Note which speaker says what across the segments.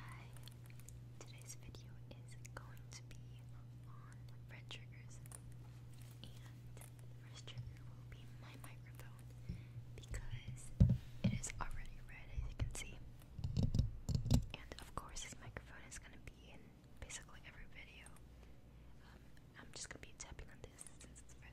Speaker 1: Hi, today's video is going to be on red triggers and first trigger will be my microphone because it is already red as you can see and of course this microphone is going to be in basically every video um, I'm just going to be tapping on this since it's red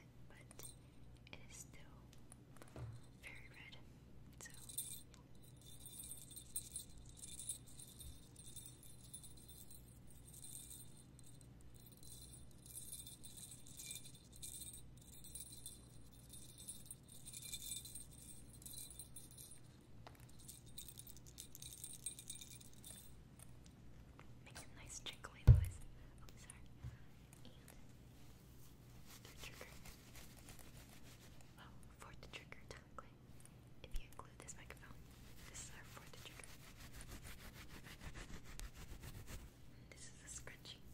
Speaker 2: it, but it is still very red.
Speaker 3: Makes a nice jingly noise. Oh, sorry. And trigger. Well, oh, for trigger, technically. If you include this microphone, this is our for trigger. this is a scrunchie.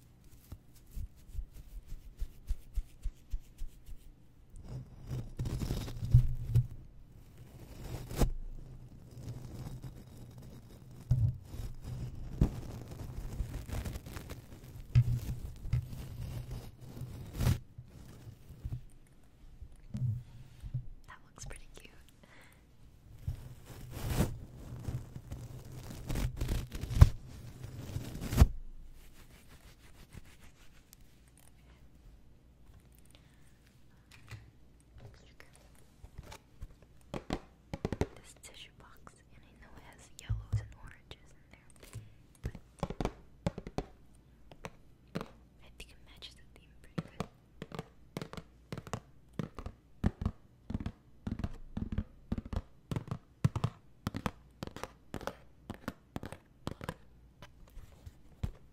Speaker 1: That looks pretty cute. Look. This tissue box, and I know it has yellows and oranges in there, but I think it matches the theme pretty good.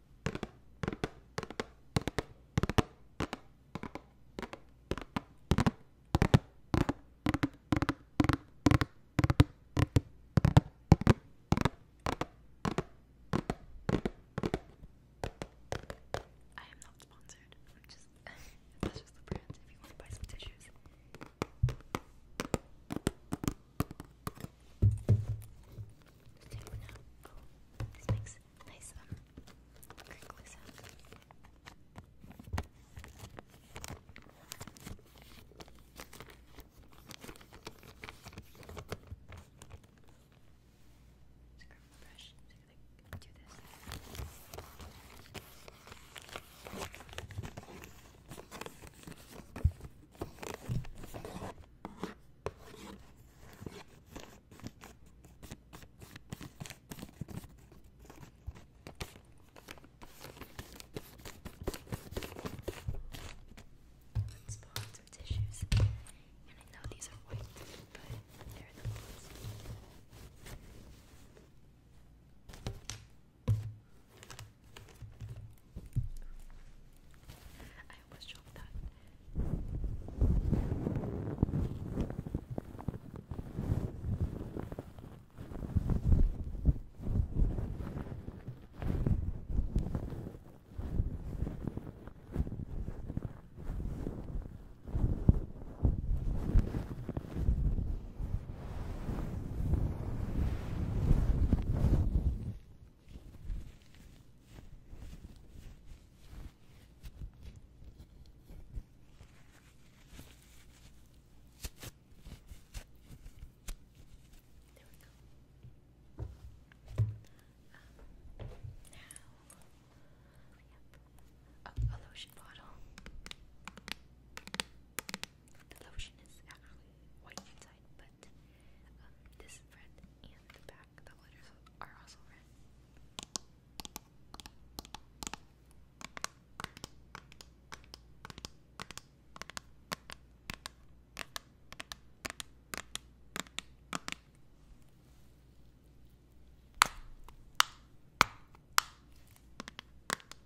Speaker 1: I am not sponsored. I'm just that's just the brands if you want to buy some tissues. Let's take one out. Oh, this makes nice um crinkly sound. Just grab my brush. Just gonna do this. Let's pull out some tissues. And I know these are white, but they're the ones. Okay. I almost dropped that.
Speaker 3: There we go. now, um, a lotion bottle. The lotion is actually white inside, but um, this is red, and the back, the letters are also red.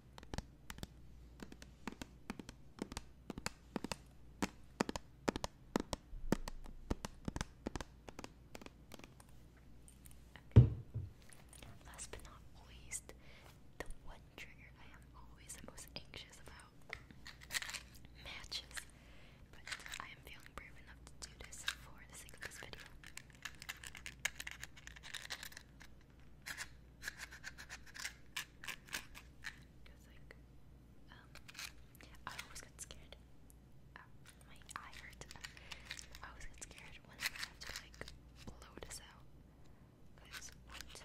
Speaker 3: Okay. Last but not least, the one trigger I am always the most anxious about matches. But I am feeling brave enough to do this for the sake of this video. Cause like, um, I always got scared. my eye hurts. I always got scared whenever I have to like blow this out. Cause once,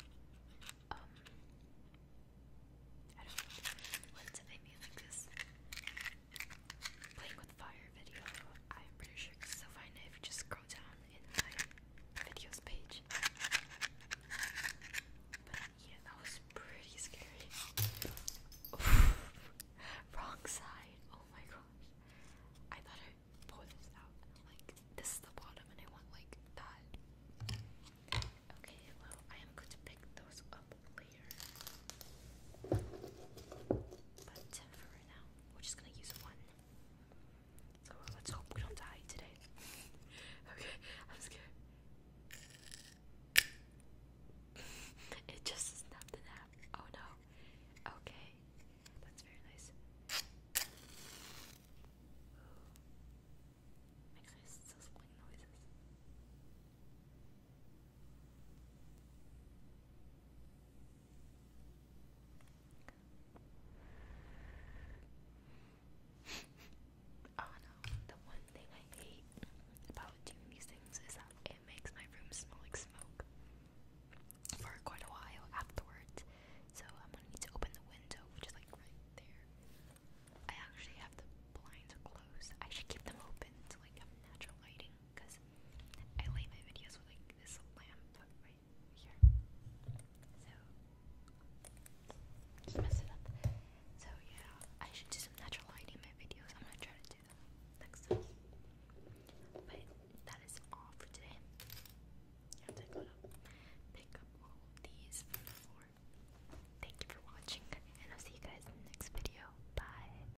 Speaker 3: um, I don't know. Once I made like this playing with fire video, I'm pretty sure it's so fine if you just scroll down in my videos page. But yeah, that was pretty scary. Wrong side. Oh my gosh. I thought I pulled this out.
Speaker 4: Like this is the bottom, and I want like that. Okay, well I am going to pick those up later. But for now, we're just gonna use one. So let's hope we don't die today. okay, I'm scared. it just snapped in half. Oh no. Okay. That's very nice. Makes nice sizzling noises
Speaker 3: oh no, the one thing I hate about doing these things is that it makes my room smell like smoke for quite a while afterwards. So I'm gonna need to open the window, which is like right there. I actually have the blinds closed. I should keep them open to like have natural lighting because I light my videos with like this lamp right here. So just mess it up. So yeah, I should do some natural lighting in my videos. I'm gonna try to do that next time. But that is all for today. I'm to to pick up all of these Thank you for watching, and I'll see you guys in next video. Bye.